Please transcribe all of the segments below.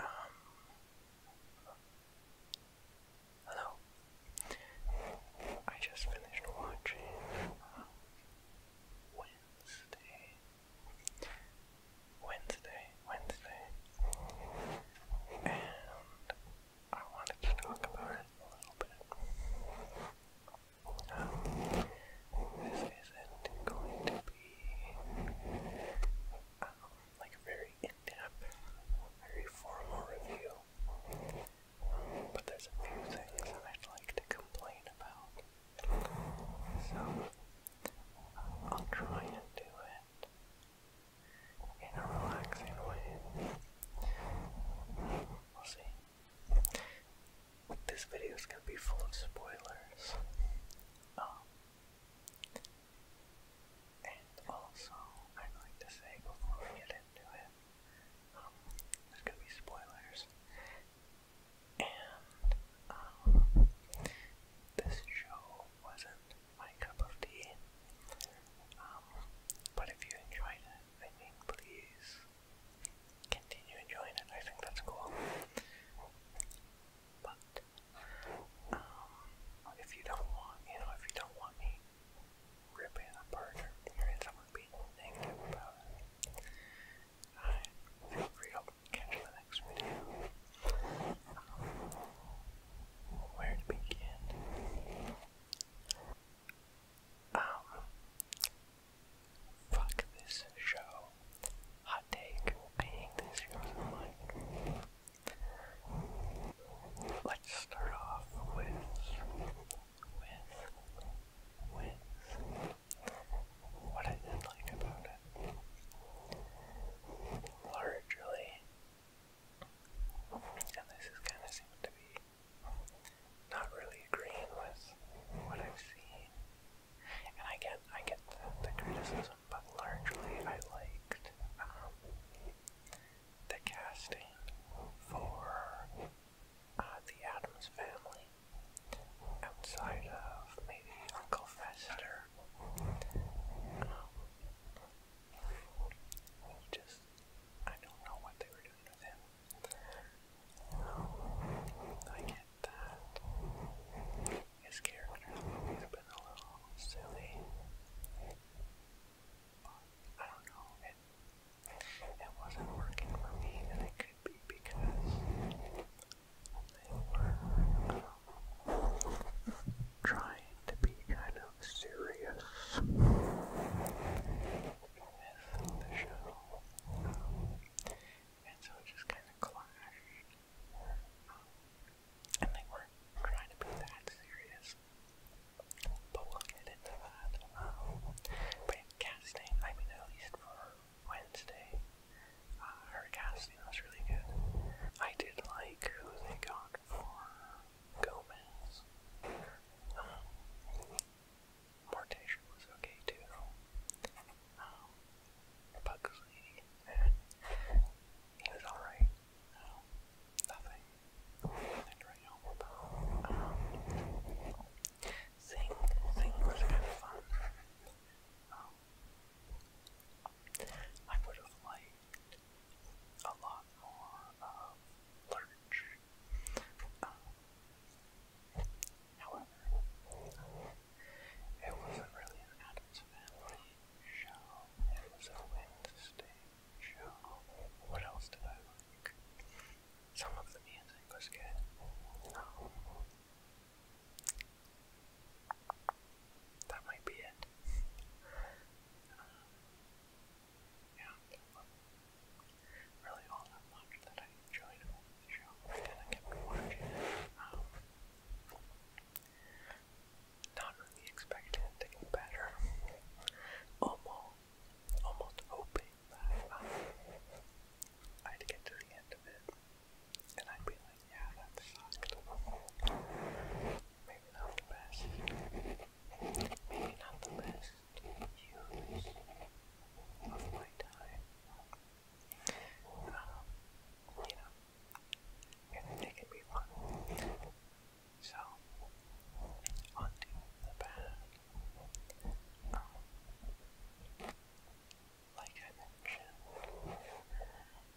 Um, hello. I just finished watching Wednesday. Wednesday, Wednesday, and I wanted to talk about it a little bit. Um, this isn't going to be um, like a very in-depth, very formal review, um, but there's a few things that I'd like to complain about. So, uh, I'll try and do it in a relaxing way. We'll see. This video is gonna be full of spoilers. Um, and also, I'd like to say before we get into it, um, there's gonna be spoilers. And, um, this show wasn't my cup of tea. Um, but if you enjoyed it, please continue enjoying it. I think that's cool. But um, if you don't want, you know, if you don't want me ripping apart or hearing someone being negative about it, I feel free to catch the next video. Um, where to begin? Um, fuck this show. Hot take. I hate this show Let's start off with, with, with what I did like about it. Largely, and this is kind of seems to be not really agreeing with what I've seen. And I get, I get the, criticism, but largely I liked um, the casting for uh, the Adams family outside of maybe Uncle Fester. Um, just I don't know what they were doing with him. I get that his character's always been a little silly. I don't know, it it wasn't working for me and it could be because they were um, trying to be kind of serious with the show. And so it just kind of clashed. and they weren't trying to be that serious. But we'll get into that. Um, but casting, I mean, at least for Wednesday, uh, her casting was really good. I did like who they got for Gomez. Um, Mortasia was okay too. Um, Pugsley, eh, he was alright. Um, nothing. Nothing to write home about. Um, Sing, Sing was kind of fun. Um, I would have liked a lot more of large. Um, however, it wasn't really an Adams Family show, it was a Wednesday show. What else did I like? Some of the music was good. Um, that might be it. Um, yeah, really all that much that I enjoyed the show and I kept watching um, not really expecting better. Almost, almost hoping that um, I'd get to the end of it and I'd be like, yeah, that sucked. Maybe not the best. Maybe not the best years of my time. you know, and they can fun. So, onto the bag. like I mentioned,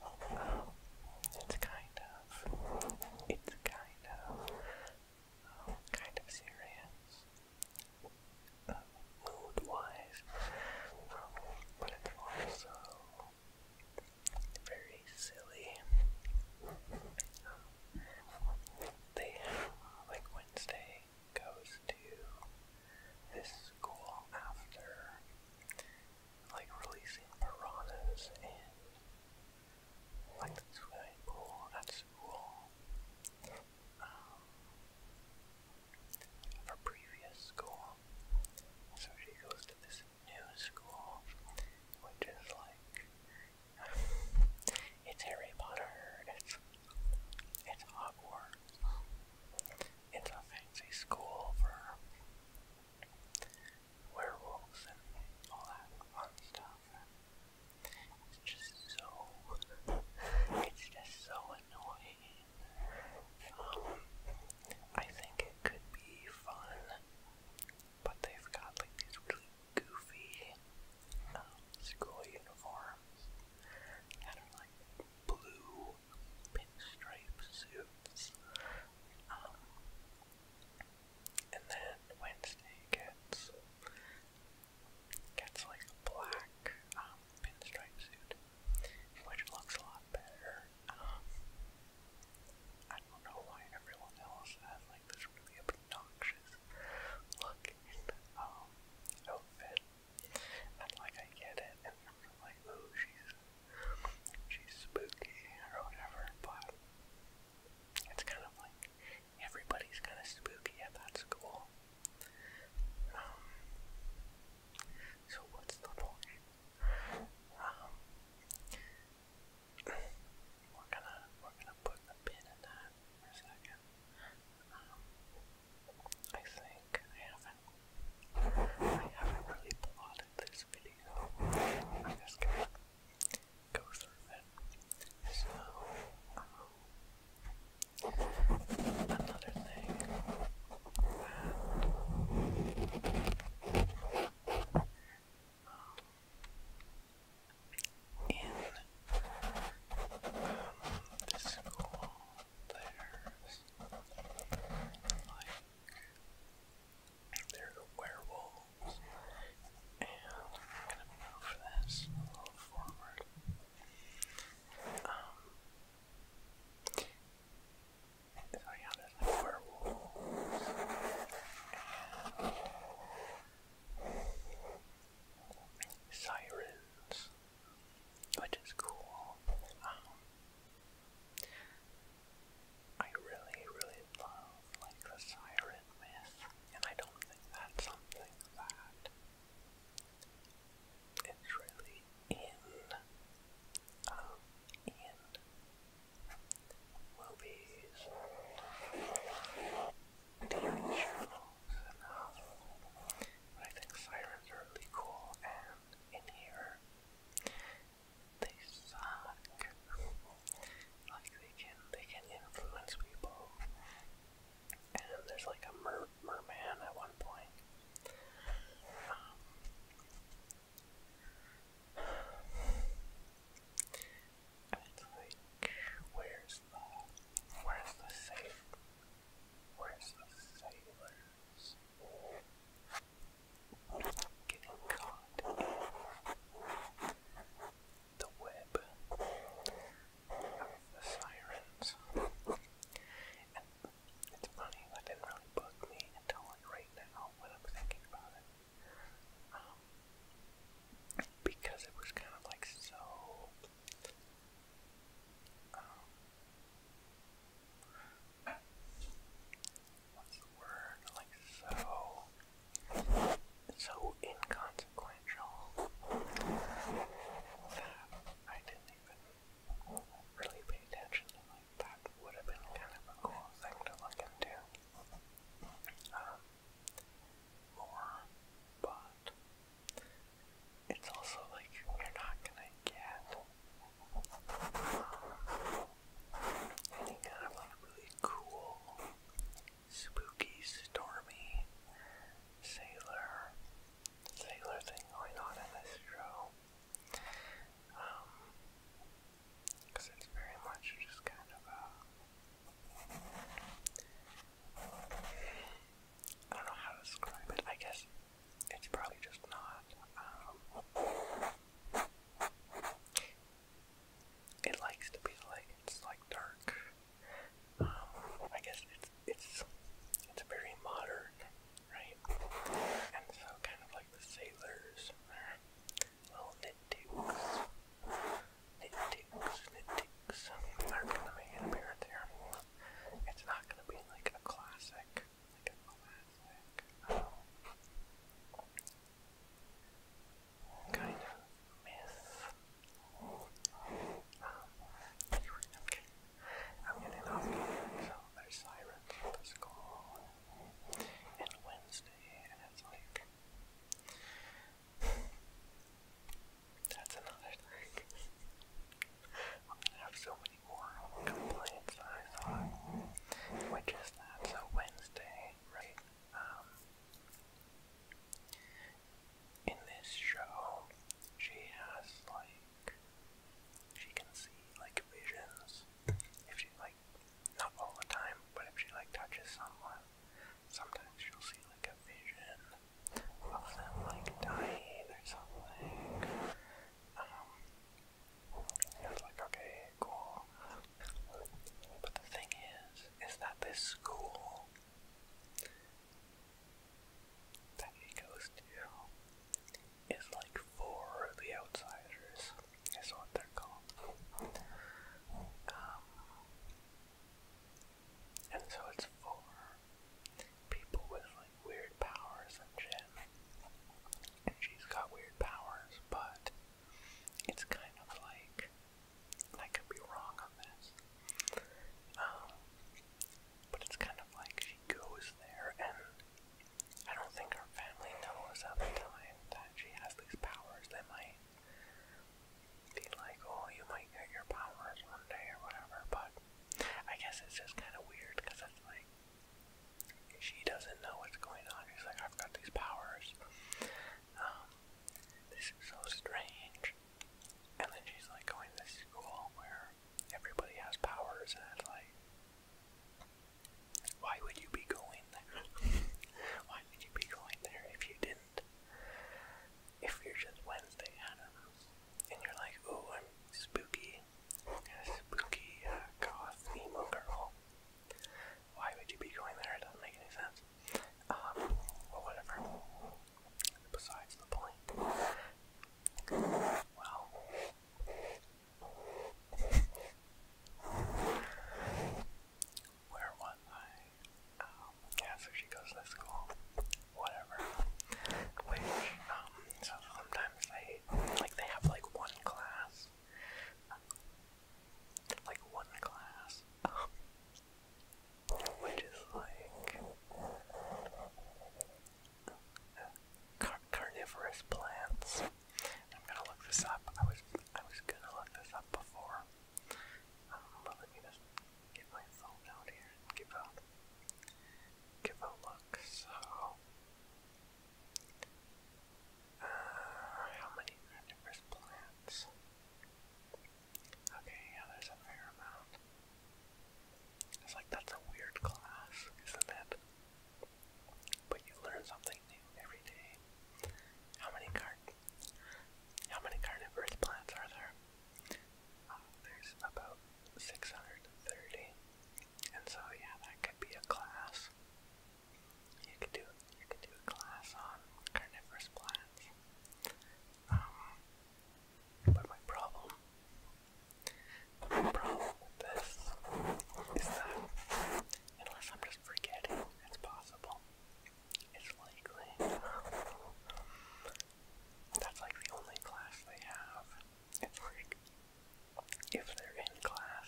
it's kind of, it's kind of kind of serious uh, mood-wise, but it's also very silly. Um, they have, like Wednesday goes to this school after like releasing piranhas and like that's very cool, that's cool. Um, her previous school, so she goes to this new school, which is like, it's Harry Potter, it's, it's Hogwarts, it's a fancy school for werewolves and all that fun stuff. It's just so, it's just so annoying. Um, I think it could be fun, but they've got like these really goofy um, school uniforms like blue pinstripe suits. Um, and then Wednesday gets gets like a black um, pinstripe suit, which looks a lot better. Um, I don't know why everyone else has like this really obnoxious looking um, outfit. And like I get it, and I'm like, ooh, she's she's spooky or whatever, but it's kind of like everybody's kind of spooky at that school. Um, so what's the point? Um, we're gonna we're gonna put a pin in that second. Um, I think I haven't I haven't really plotted this video. I'm just going go through it. So, another thing in the school, there's like, there's a werewolf and I'm gonna move this a little forward. Um, so yeah, there's like And sirens, which is cool. Um, I really, really love like the siren and I don't think that's something that really in um, in movies, TV shows, and I think sirens are really cool, and in here they suck. Like they can they can influence people. And there's like a mer merman at one point. it's um, like, where's the, where's the safe, where's the sailors getting caught? the web of the sirens. And it's funny, that didn't really bug me until like right now when I'm thinking about it. Um, because it was kind of like so. Um, what's the word? Like so so inconsequential that I didn't even really pay attention to that would have been kind of a cool thing to look into. Um, but it's also like you're not gonna get um, any kind of like really cool spooky, stormy sailor, sailor thing going on in this show. Um, it's very much just kind of a. I don't know how to describe it. I guess it's probably just not. Um, it likes to be like it's like dark um, I guess it's it's it's very modern, right? And so kind of like the sailors, their little nitpicks, nitpicks, nitpicks are gonna make an appearance It's not gonna be like a classic, like a classic. Um, kind of myth. okay. Um, I'm getting off so there's sirens for and Wednesday, and it's like that's another thing. I'm gonna have so many more complaints I thought, which is that so Wednesday, right? Um, in this show, she has like she can see like visions. If she like not all the time, but if she like touches someone, sometimes she'll see like a vision of them like dying or something. Um, and it's like okay, cool. But the thing is, is that this school that he goes to is like for the outsiders, is what they're called. Um, and so it's for people with like weird powers and shit. And she's got weird powers, but it's kind of like I could be wrong on this. Um, but it's kind of like she goes there, and I don't think her family knows at the time that she has these powers. They might be like, oh, you might get your powers one day or whatever, but I guess it's just kind of weird because it's like she doesn't know what's going on. She's like, I've got these powers. Um, this is so strange. And then she's like going to school where everybody has powers, and it's like, why would you be going there? why would you be going there if you didn't? If you're just Wednesday, I don't know. And you're like, ooh, I'm spooky, a spooky uh, goth emo girl. Why would you be going there? It doesn't make any sense. Um, well, whatever. Besides the point. Well. Where was um, yeah, so she goes to school. Whatever. Which, um, so sometimes they, like, they have, like, one class. Like, one class. Um, which is like carnivorous plants. I'm gonna look this up. I was I was gonna look this up before, um, but let me get my phone out here give a give a look. So, uh, how many carnivorous plants? Okay, yeah, there's a fair amount. It's like that's a weird class, isn't it? But you learn something new every day. How many carnivorous plants are there? Uh, there's about 630. And so yeah, that could be a class. You could do you could do a class on carnivorous plants. Um, but my problem, my problem with this is that unless I'm just forgetting, it's possible. It's likely. That's like the only class they have. It's like if they're in class,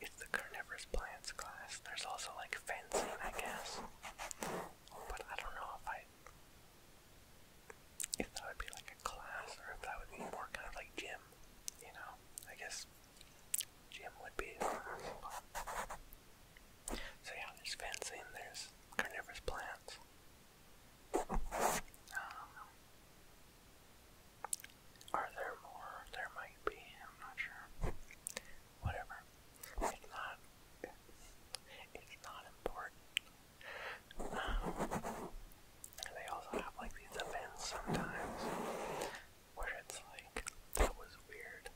it's the carnivorous plants class. There's also like fencing, I guess. But I don't know if I if that would be like a class or if that would be more kind of like gym, you know. I guess gym would be So yeah, there's fencing, there's carnivorous plants. Um, are there more? There might be, I'm not sure. Whatever. If not, it's not important. they also have like these events sometimes where it's like, that was weird.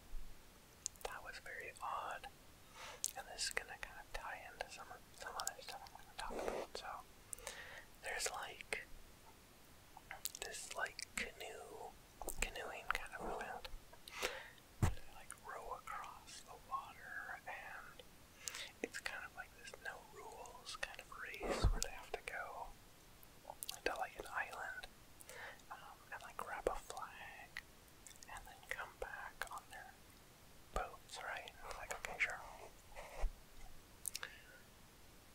That was very odd. And this is gonna kind of tie into some some other stuff I'm going about. So there's like this like canoe canoeing kind of event like row across the water, and it's kind of like this no rules kind of race where they have to go to like an island um, and like grab a flag and then come back on their boats, right? And it's like, okay, sure.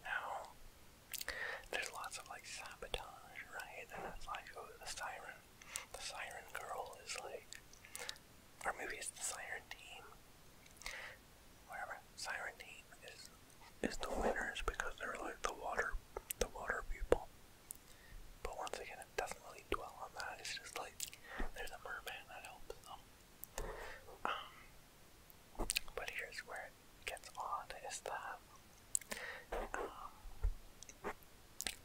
Now, there's lots of like sabotage, right? And it's like, oh, the siren the Siren Girl is like, our movie is the Siren Team. Whatever, Siren Team is is the winners because they're like the water, the water people. But once again, it doesn't really dwell on that. It's just like there's a merman that helps them. Um, but here's where it gets odd: is that um,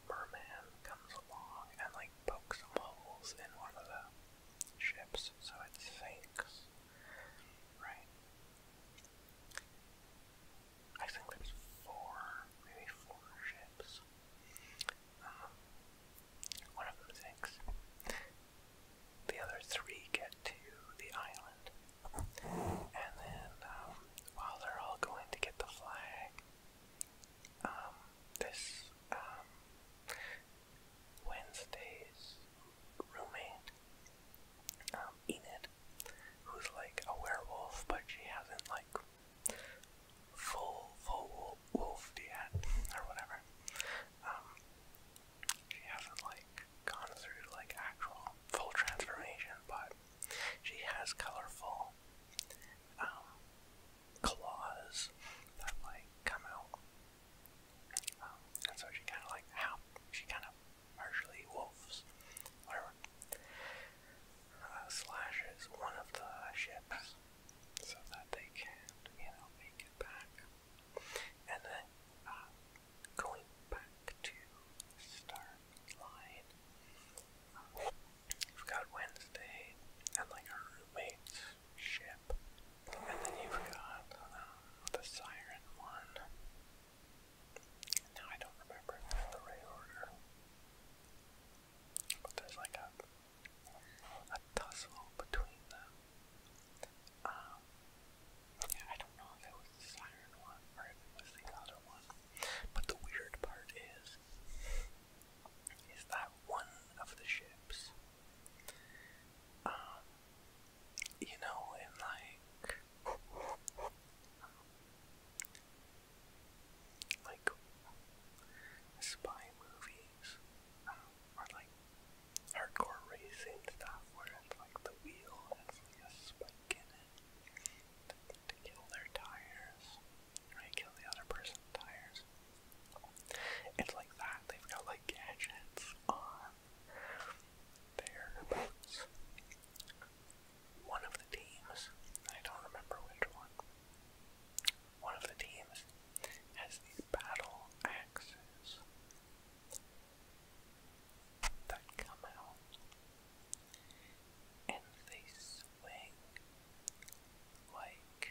Merman comes along and like pokes some holes in one of the ships so it sinks. Right. I think there's four, maybe four ships. Um, one of them sinks. The other three get to the island and then um, while they're all going to get the flag, um, this um, Wednesday's roommate, um, Enid, who's like a werewolf, but she hasn't like full full wolfed yet or whatever. Um, she hasn't like gone through like actual full transformation, but she has colorful um, claws that like come out, um, and so she kind of like how she kind of partially wolves, whatever, uh, slashes one of the ships so that they can, you know, make it back, and then. Uh, Going back to Star line. You've got Wednesday and like a roommate's ship. And then you've got um, the Siren one. Now I don't remember the right order. But there's like a a tussle between them. Um, yeah, I don't know if it was the Siren one or it was the other one. But the weird part is, is that one of the ships, um, you know, in like, like spy movies, um, like hardcore racing stuff where it's like the wheel has like to kill their tires, right? Kill the other person's tires. It's like that. They've got like gadgets on their boots. One of the teams, I don't remember which one. One of the teams has these battle axes that come out and they swing like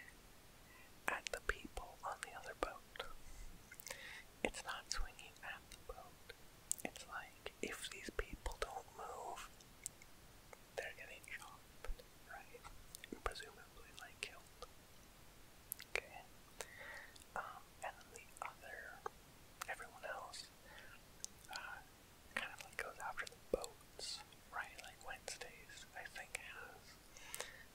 at the people on the other boat. It's not swinging at the boat. It's like if these people don't move, they're getting chopped, right? Presumably, like killed. Okay. Um, and then the other, everyone else, uh, kind of like goes after the boats, right? Like Wednesdays, I think, has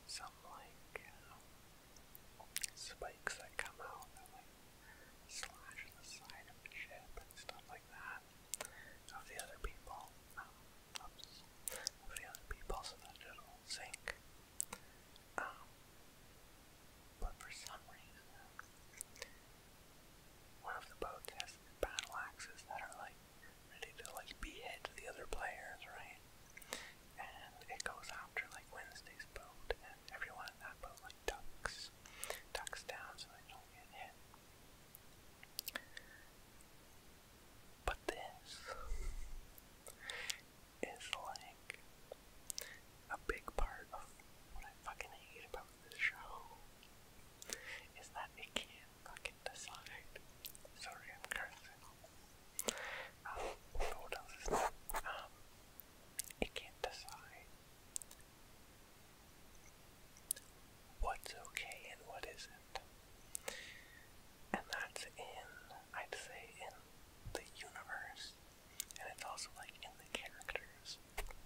some like um, spikes that come out that like slash the side of the ship and stuff like that of the other people. Um, oops, of the other people, so that it'll sink. Um, but for some reason, one of the boats has these battle axes that are like ready to like behead the other players, right? And it goes after like Wednesday's boat, and everyone in that boat like ducks, ducks down so they don't get hit. But this is like a big part of what I fucking hate about the show is that it can't decide. Sorry, I'm cursing. Um, um, it can't decide what's okay and what isn't. And that's in, I'd say, in the universe. And it's also like in the characters.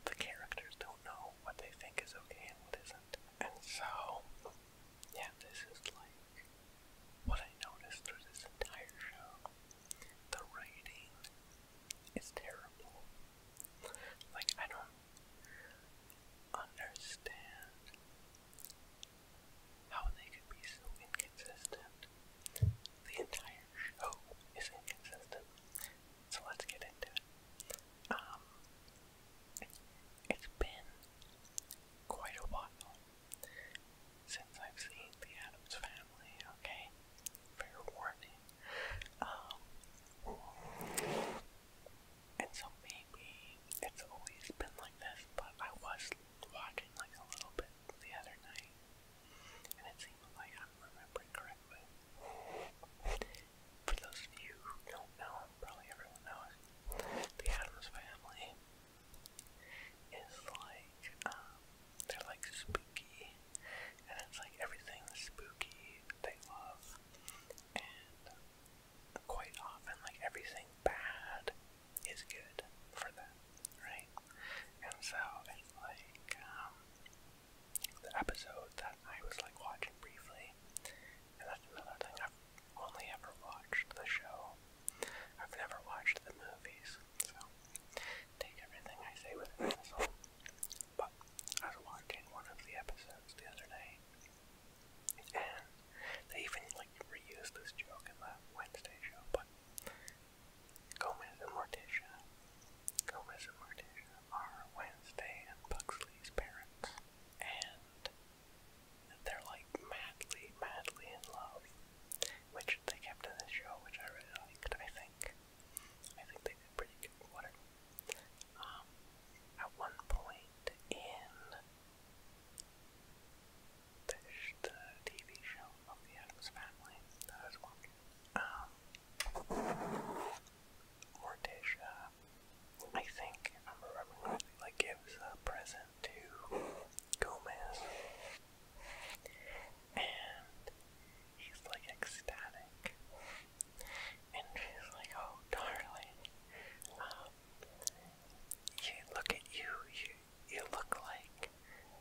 The characters don't know what they think is okay and what isn't. And so, yeah, this is like what I noticed through this entire show. The writing is terrible. Like, I don't understand how they could be so inconsistent. The entire show is inconsistent. So let's get into it. Um, it's been quite a while since I've seen The Adams Family, okay? Fair warning. Um, and so maybe it's always been like this, but I was watching like a little bit the other night, and it seems like I'm remembering correctly. For those of you who don't know, probably everyone knows, the Adams family is like, um, they're like spooky, and it's like everything spooky they love, and quite often, like everything bad is good for them, right? And so it's like, um, the episode that I was like watching briefly, and that's another thing I've only ever watched the show. I've never watched the movies, so take everything I say with a pencil. But I was watching one of the episodes the other day, and they even like reused this joke in the Wednesday show. But Gomez and Morticia, Gomez and Morticia, are Wednesday and Buxley's parents, and they're like madly, madly in love, which they kept in this show, which I really liked. I think, I think they did pretty good. Whatever. Um, at one point in the, TV show the Adams Family that was watching, um, Morticia, I think, I'm remembering like gives a present to Gomez. And he's like ecstatic. And she's like, oh darling, um, you look at you, you you look like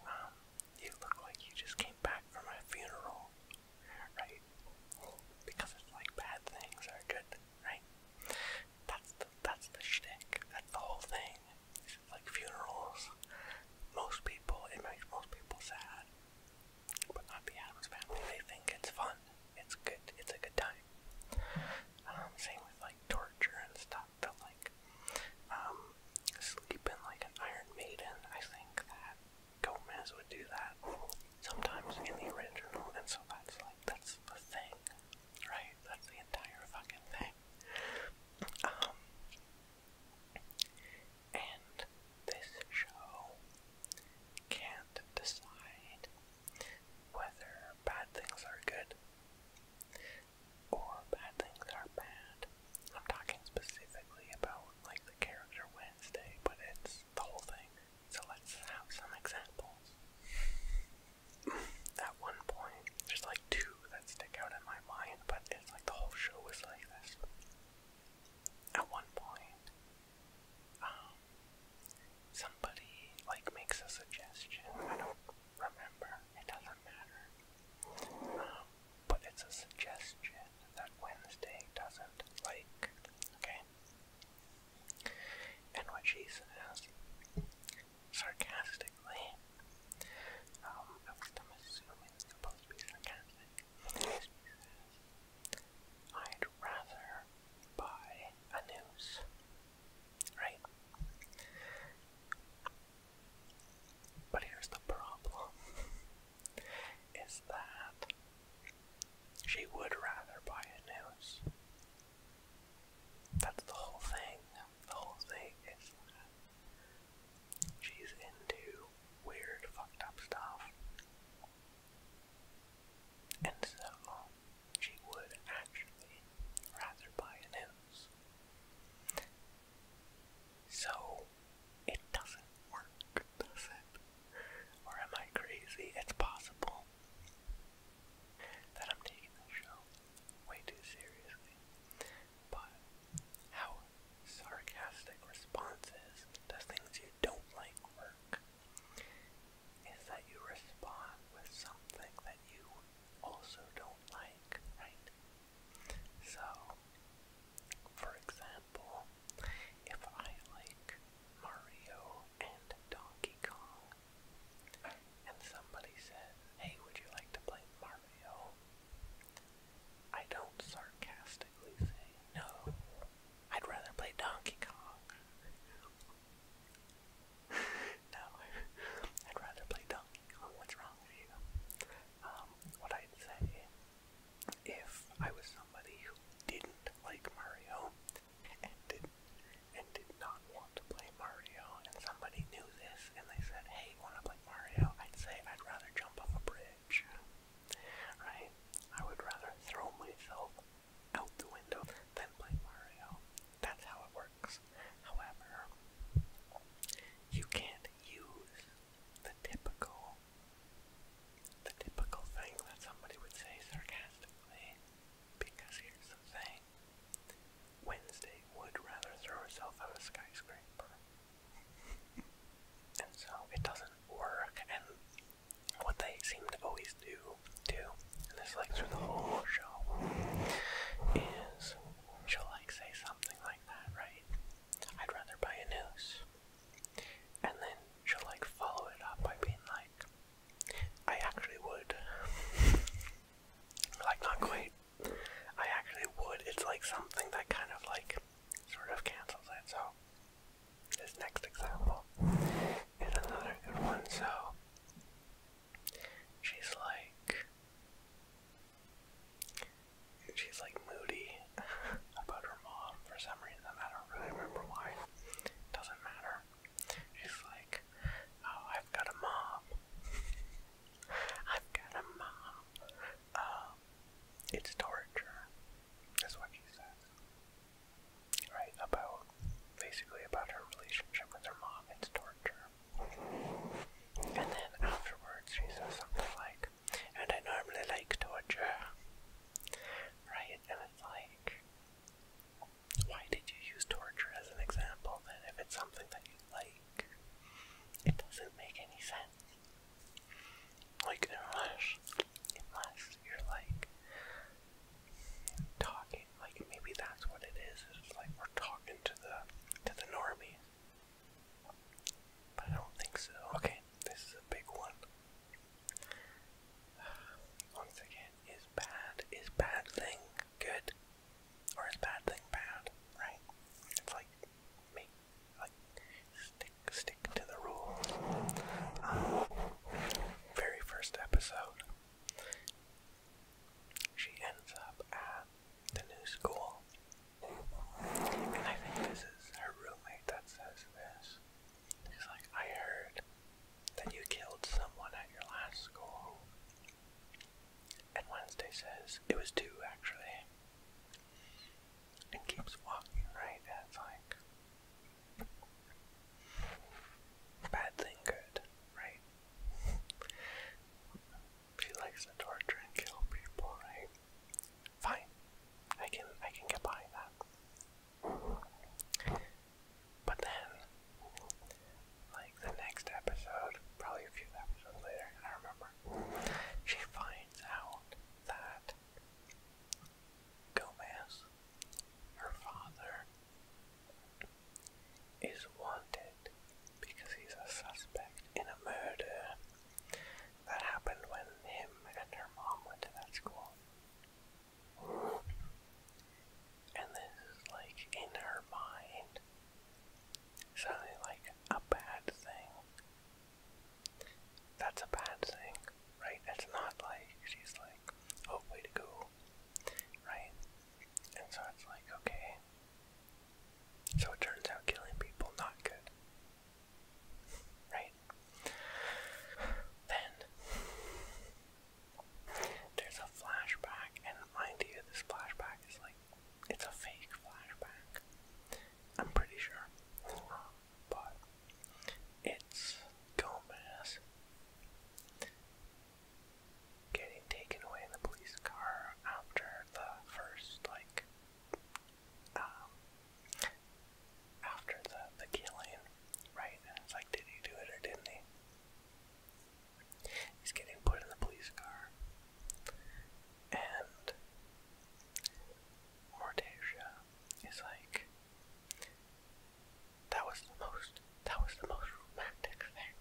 um you look like you just came back from a funeral right? Because it's like bad things are good, right? That's the that's the shtick. That's the whole thing. Like funerals, most people it makes most people sad, but not the Adams family. They think it's fun. It's good. It's a good time. Um, same with like torture and stuff. But like, um, like an Iron Maiden. I think that Gomez would do that sometimes in the original, and so that's like that's the thing, right? That's the entire fucking thing. Um, and this show can't decide whether bad things are good or bad things are bad. I'm talking specifically about like the character Wednesday, but it's the whole thing. So let's have some examples. At one point, there's like two that stick out in my mind, but it's like the whole show is like this. At one point, um, somebody like makes a suggestion. I don't remember. It doesn't matter. Um, but it's a suggestion that Wednesday doesn't like, okay? And what she says, sarcastically, um, I'm assuming it's supposed to be sarcastic, she says, I'd rather buy a noose, right? But here's the problem is that she would rather buy a house. That's the whole thing. The whole thing is she's into weird, fucked up stuff. And so she would actually rather buy a house. So it doesn't work, does it? Or am I crazy? It's possible that I'm taking the show way too seriously. But how sarcastic responses to things you don't like work is that you respond with something that you also don't like, right? So, for example, example, if I like Mario and Donkey Kong, and somebody says, hey, would you like to play Mario? I don't sarcastically say, no, I'd rather play Donkey Kong. no, I'd rather play Donkey Kong. What's wrong with you? Um, what I'd say if I was somebody who didn't like Mario and did and did not want to play Mario and somebody knew this and they said, Hey, wanna play Mario? I'd say I'd rather jump off a bridge. Right? I would rather throw myself out the window than play Mario. That's how it works. However, you can't use the typical the typical thing that somebody would say sarcastically, because here's the thing Wednesday would rather throw herself out of a skyscraper. and so it doesn't work, and what they seem to always do, too, and this like through the whole show, is she'll like say something like that, right? I'd rather buy a noose. And then she'll like follow it up by being like, I actually would. like, not quite. I actually would. It's like something that kind of like sort of cancels it. So, this next example is another good one. So, she's like, she's like moody about her mom for some reason. I don't really remember why. doesn't matter. She's like, oh, I've got a mom. I've got a mom. Um, it's torture. That's what she said. Right? About, basically about her relationship with her mom. It's torture. And then afterwards she says something like, and I normally like torture. Right? and it's like, why did you use torture as an example then if it's something that you like? It doesn't make any sense. Like, unless, unless you're like talking, like maybe that's what it is. It's like we're talking to the to the normies. But I don't think so. Okay, this is a big one. Once again, is bad is bad thing good, or is bad thing bad? Right? It's like me, like stick stick to the rules. Um, very first episode, she ends up at the new school, and I think this is her roommate that says this. He's like, I heard that you killed someone at your last school. And Wednesday says, it was two actually. And keeps walking, right? And like, bad thing, good, right? she likes to torture and kill people, right? Fine. I can I can get by that. But then, like the next episode, probably a few episodes later, I don't remember, she finds out that Gomez, her father, is wanted because he's a suspect in a murder that happened when him and her mom went to that school. And this is like in her mind sounding like a bad thing. That's a bad thing, right? It's not like she's like, oh, way to go, right? And so it's like, okay. So it turns out killing people not good right? Then there's a flashback, and mind you, this flashback is like it's a fake flashback. I'm pretty sure, um, but it's Gomez getting taken away in the police car after the first like um, after the, the killing, right? it's like, did he do it or didn't he? He's getting put in the police car. And Mortasia is like, that was the most, that was the most romantic thing,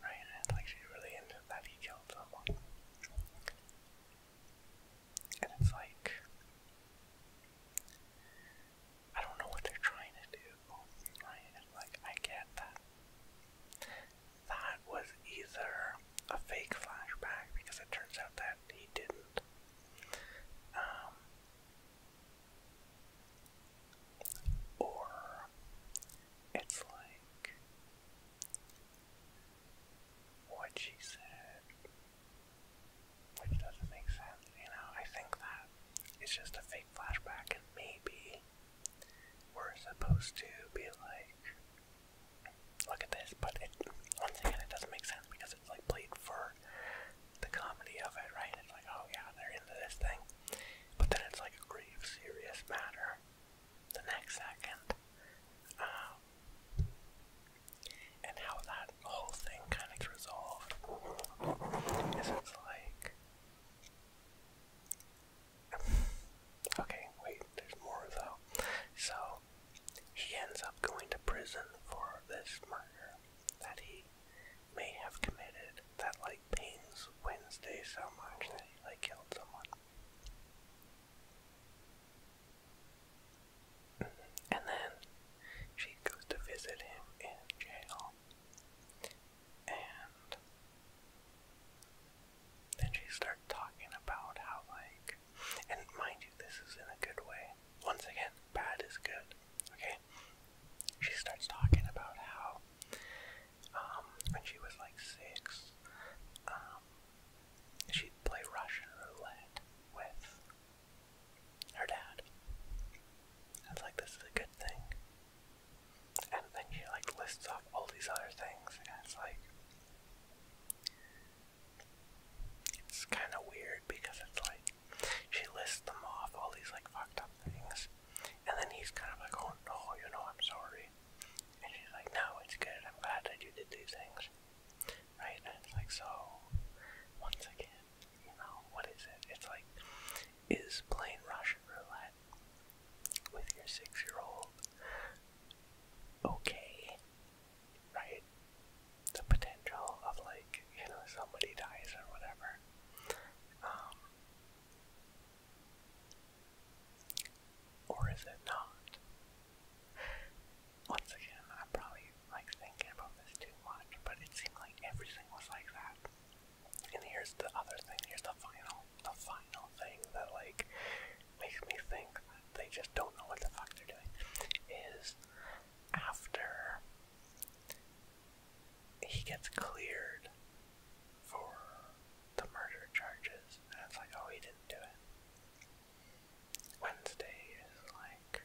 right? And like she's really into that he killed someone. And it's like, I don't know what they're trying to do, like, I get that. That was either a fake flashback, because it turns out that he didn't. Um, or it's like what she said which doesn't make sense, you know. I think that it's just a fake flashback, and maybe we're supposed to be like, look at this, but it, once again, it doesn't make sense because it's like played for the comedy of it, right? It's like, oh yeah, they're into this thing, but then it's like a grave, serious matter the next second. Uh, and how that whole thing kind of gets is it's like. okay, wait, there's more though. So, he ends up going to prison for this murder that he may have committed that, like, pains Wednesday so much that he, like, killed someone. And then she goes to visit him in jail. And then she starts talking about how, like, and mind you, this is in a good way. Once again, bad is good, okay? She starts talking about how, um, when she was like six, um, she'd play Russian roulette with her dad. I was like, this is a good thing. And then she like lists off all these other things, and it's like it's kind of weird because it's like she lists them off all these like fucked up things, and then he's kind of like, oh no, you know, I'm sorry. And she's like, no, it's good. I'm glad that you did these things right? And it's like, so, once again, you know, what is it? It's like, is playing Russian roulette with your six year old okay, right? The potential of, like, you know, somebody dies or whatever. Um, or is it not? once again, I'm probably like thinking about this too much, but it seemed like everything was like that. And here's the other thing, here's the final, the final thing that like makes me think that they just don't know what the fuck they're doing, is after he gets cleared for the murder charges, and it's like, oh, he didn't do it. Wednesday is like,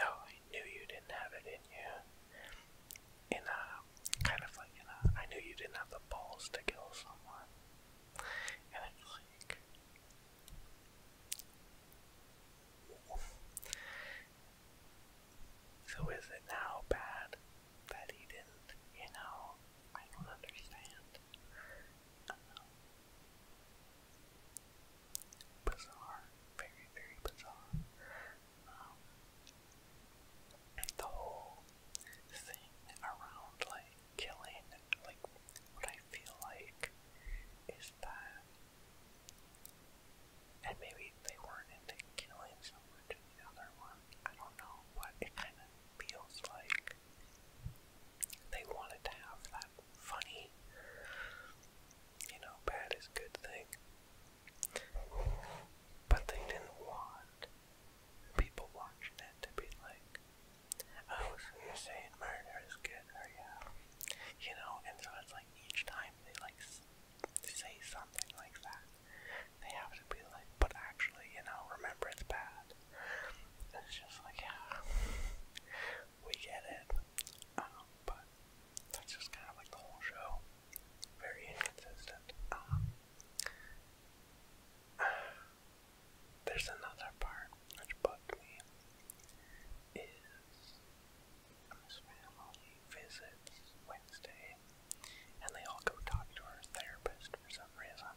oh, I knew you didn't have it in you. In a kind of like, you know, I knew you didn't have the balls to kill someone. And it's like, so is it now bad that he didn't? You know, I don't understand. Um, bizarre, very, very bizarre. Um, the whole thing around like killing, like what I feel like is that, and maybe they weren't into killing so much in the other one. I don't know, but it kind of feels like they wanted to have that funny you know, bad is a good thing. But they didn't want people watching it to be like, oh, so you're saying murder is good, or yeah. You know, and so it's like each time they like say something like that, they have to be like, but actually, you know, remember it's bad. It's just like, yeah we get it. Um, but that's just kind of like the whole show. Very inconsistent. Um, there's another part which bugged me. Is family visits Wednesday, and they all go talk to her therapist for some reason.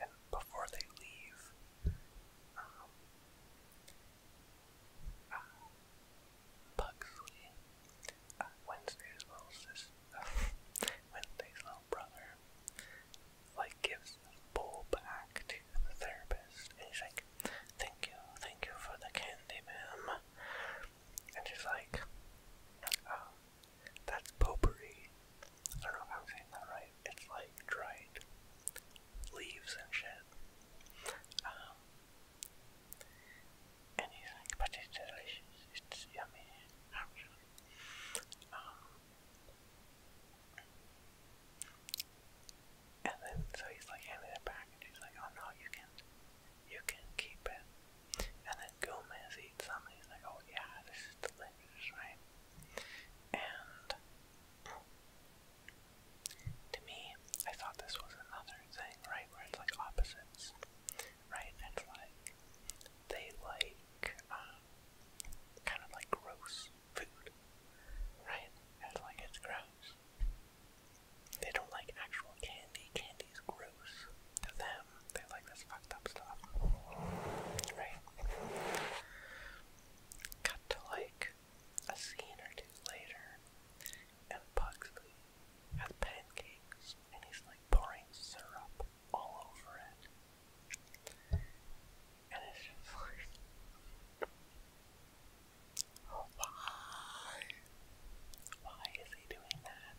And before they leave, um, uh, Wednesday's little sis, Wednesday's little brother, like gives the bowl back to the therapist, and he's like, "Thank you, thank you for the candy, ma'am." And she's like, "Oh, that's potpourri." I don't know if I'm saying that right, it's like dried leaves and shit. Um, but it's delicious, it's yummy, um, and then, so he's like handing it back, and he's like, oh no, you can, you can keep it. And then Gomez eats some, and he's like, oh yeah, this is delicious, right? And to me, I thought this was another thing, right, where it's like opposites, right? It's like they like um, kind of like gross food, right? It's like it's gross. They don't like actual candy. Candy's gross to them. They like this fucked up stuff, right? Cut to like a scene or two later, and Pugsley has pancakes and he's like pouring syrup all over it. And it's like, why? Why is he doing that?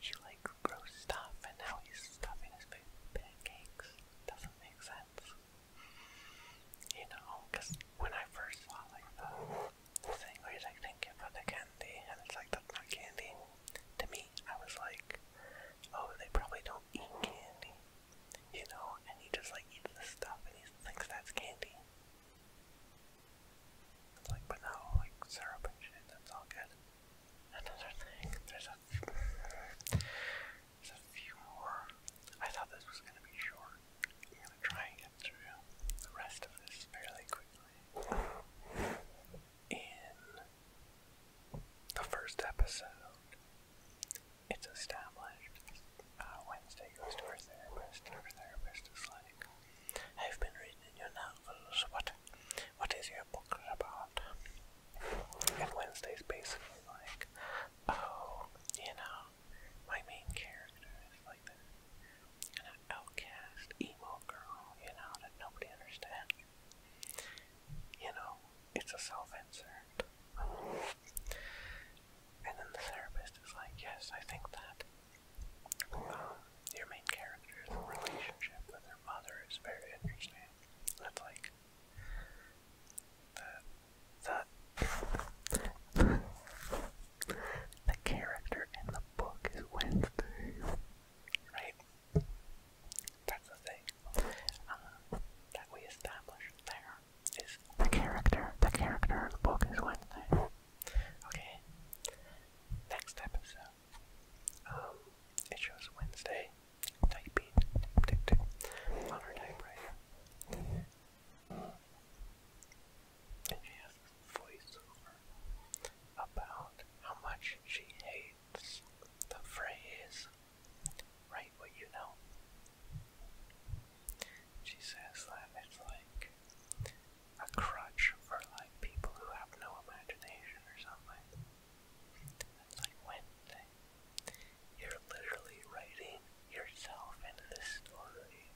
he like grows stuff and now he's stuffing his face pancakes does sense. You know, because when I first saw like the thing where he's like, thank you the candy, and it's like, that's not candy. To me, I was like, oh, they probably don't eat candy. You know, and he just like eats the stuff and he thinks that's candy. It's like, but no, like syrup and shit, that's all good. Another thing, a few more. I thought this was gonna be short. I'm gonna try and get through the rest of this fairly quickly. In the first episode, it's established. Uh, Wednesday goes to her therapist, and her therapist is like, I've been reading your novels. What, what is your book about? And Wednesday's basically like, oh, you know, my main character is like this outcast emo girl, you know, that nobody understands. You know, it's a self insert. And then the therapist is like, yes, I think that um, your main character's relationship with their mother is very interesting. And like, the, the, the character in the book is Wednesday, right? That's the thing uh, that we established there is the character. The character in the book is Wednesday. Okay. Next episode. Um, it shows Wednesday typing on her typewriter. And she voiceover about how much she hates the phrase, write what you know. She says that it's like a crutch for like people who have no imagination or something like Wednesday. You're literally writing yourself into this story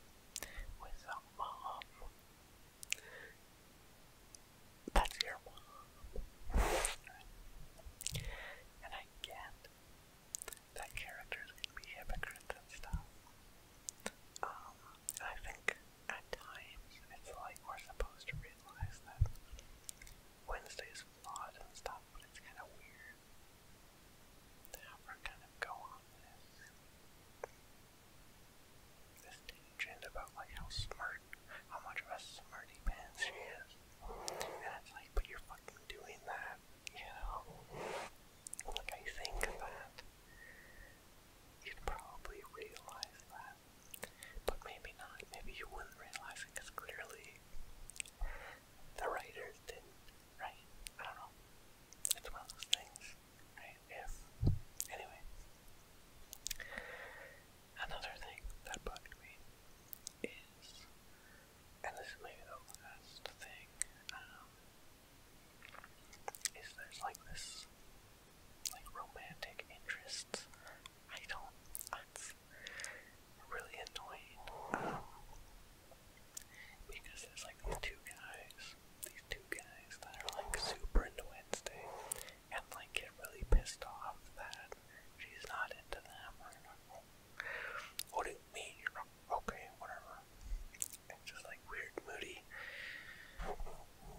with a mom. That's your mom. And I that characters can and stuff. Um, I think at times it's like we're supposed to realize that Wednesday's lot and stuff, but it's kind of weird to have her kind of go on this this tangent about like how smart, how much of a smarty pants she is, and it's like, but you're fucking doing that, you know? Like I think that you'd probably realize that, but maybe not. Maybe you wouldn't realize it because clearly the writers didn't write. I don't know. It's one of those things, right? If anyway. Another thing that bugged me is and this is maybe the last thing, um, is there's like this like romantic interest I don't. That's really annoying. because there's like these two guys, these two guys that are like super into Wednesday, and like get really pissed off that she's not into them or not. What do me? Okay, whatever. just like weird, moody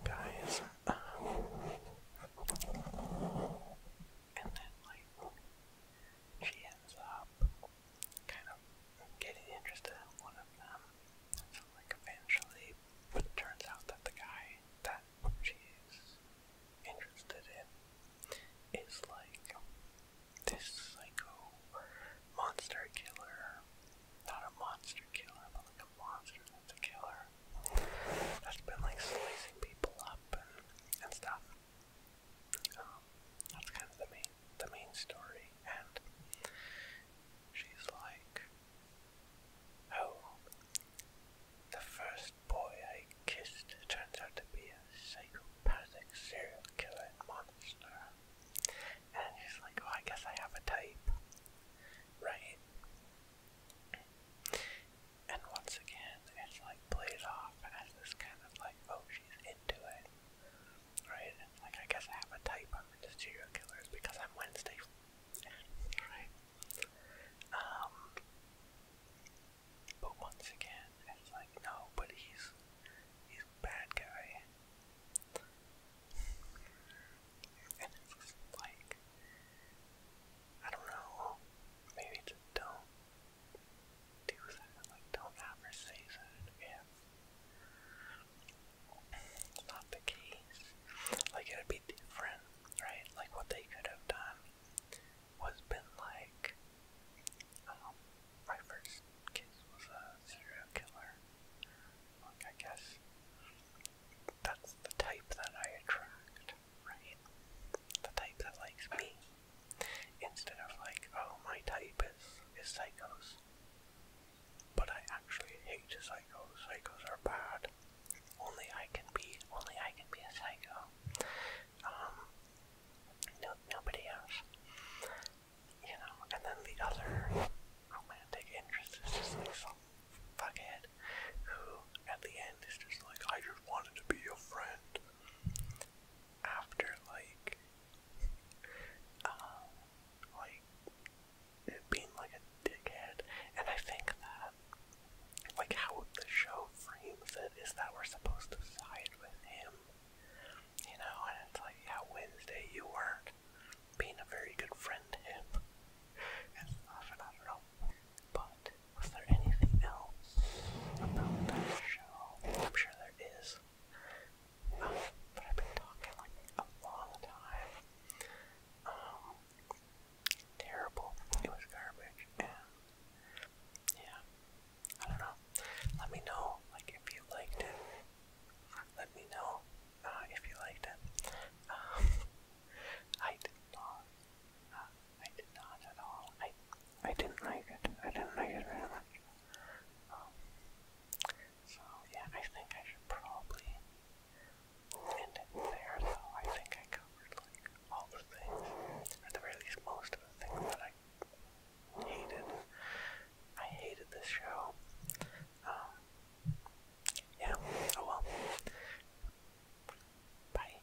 guys. and then like she ends up kind of getting interested in one of them. So, like, eventually, it turns out that the guy that she's interested in is like this psycho monster killer. Not a monster killer, but like a monster that's a killer. That's been like slicing people up and, and stuff. Um, that's kind of the main the main story, and she's like, "Oh, the first boy I kissed turns out to be a psychopathic serial killer monster," and she's like, "Oh, I guess I have a type, right?" And once again, it's like played off as this kind of like, oh, she's into it, right? And like, I guess I have a type. I'm into serial killers because I'm Wednesday, right? Um, but once again, it's like, no, but he's he's a bad guy, and it's just like, I don't know. Maybe it's a dumb do that. Like, don't ever say that again. It's not the case. Like, it'd be different, right? Like, what they could have done was been like, um, my first kiss was a serial killer. Like, I guess that's the type that I attract, right? The type that likes me. Instead of like, oh, my type is, is psychos. But I actually hate psychos. Psychos are bad. Only I can be, only I can be a psycho. Um, nobody else. You know, and then the other romantic interest is just like some fuckhead who, at the end, is just like, I just wanted to be your friend after like um like it being like a dickhead and I think that like how the show frames it is that we're supposed to side with him. You know, and it's like yeah, Wednesday you weren't being a very good friend to him and stuff and I don't know. But but was there anything else about that show? I'm sure there is. Um, but I've been talking like a long time. Um, terrible. It was garbage, yeah, I don't know. Let me know, like, if you liked it. Let me know uh, if you liked it. Um, I did not. Uh, I did not at all. I I didn't like it. I didn't like it very much. Um, so yeah, I think I should probably end it there. Though I think I covered like all the things, or at the very least, most of the things that I hated. I hated this show. Um, yeah. Oh well. Bye.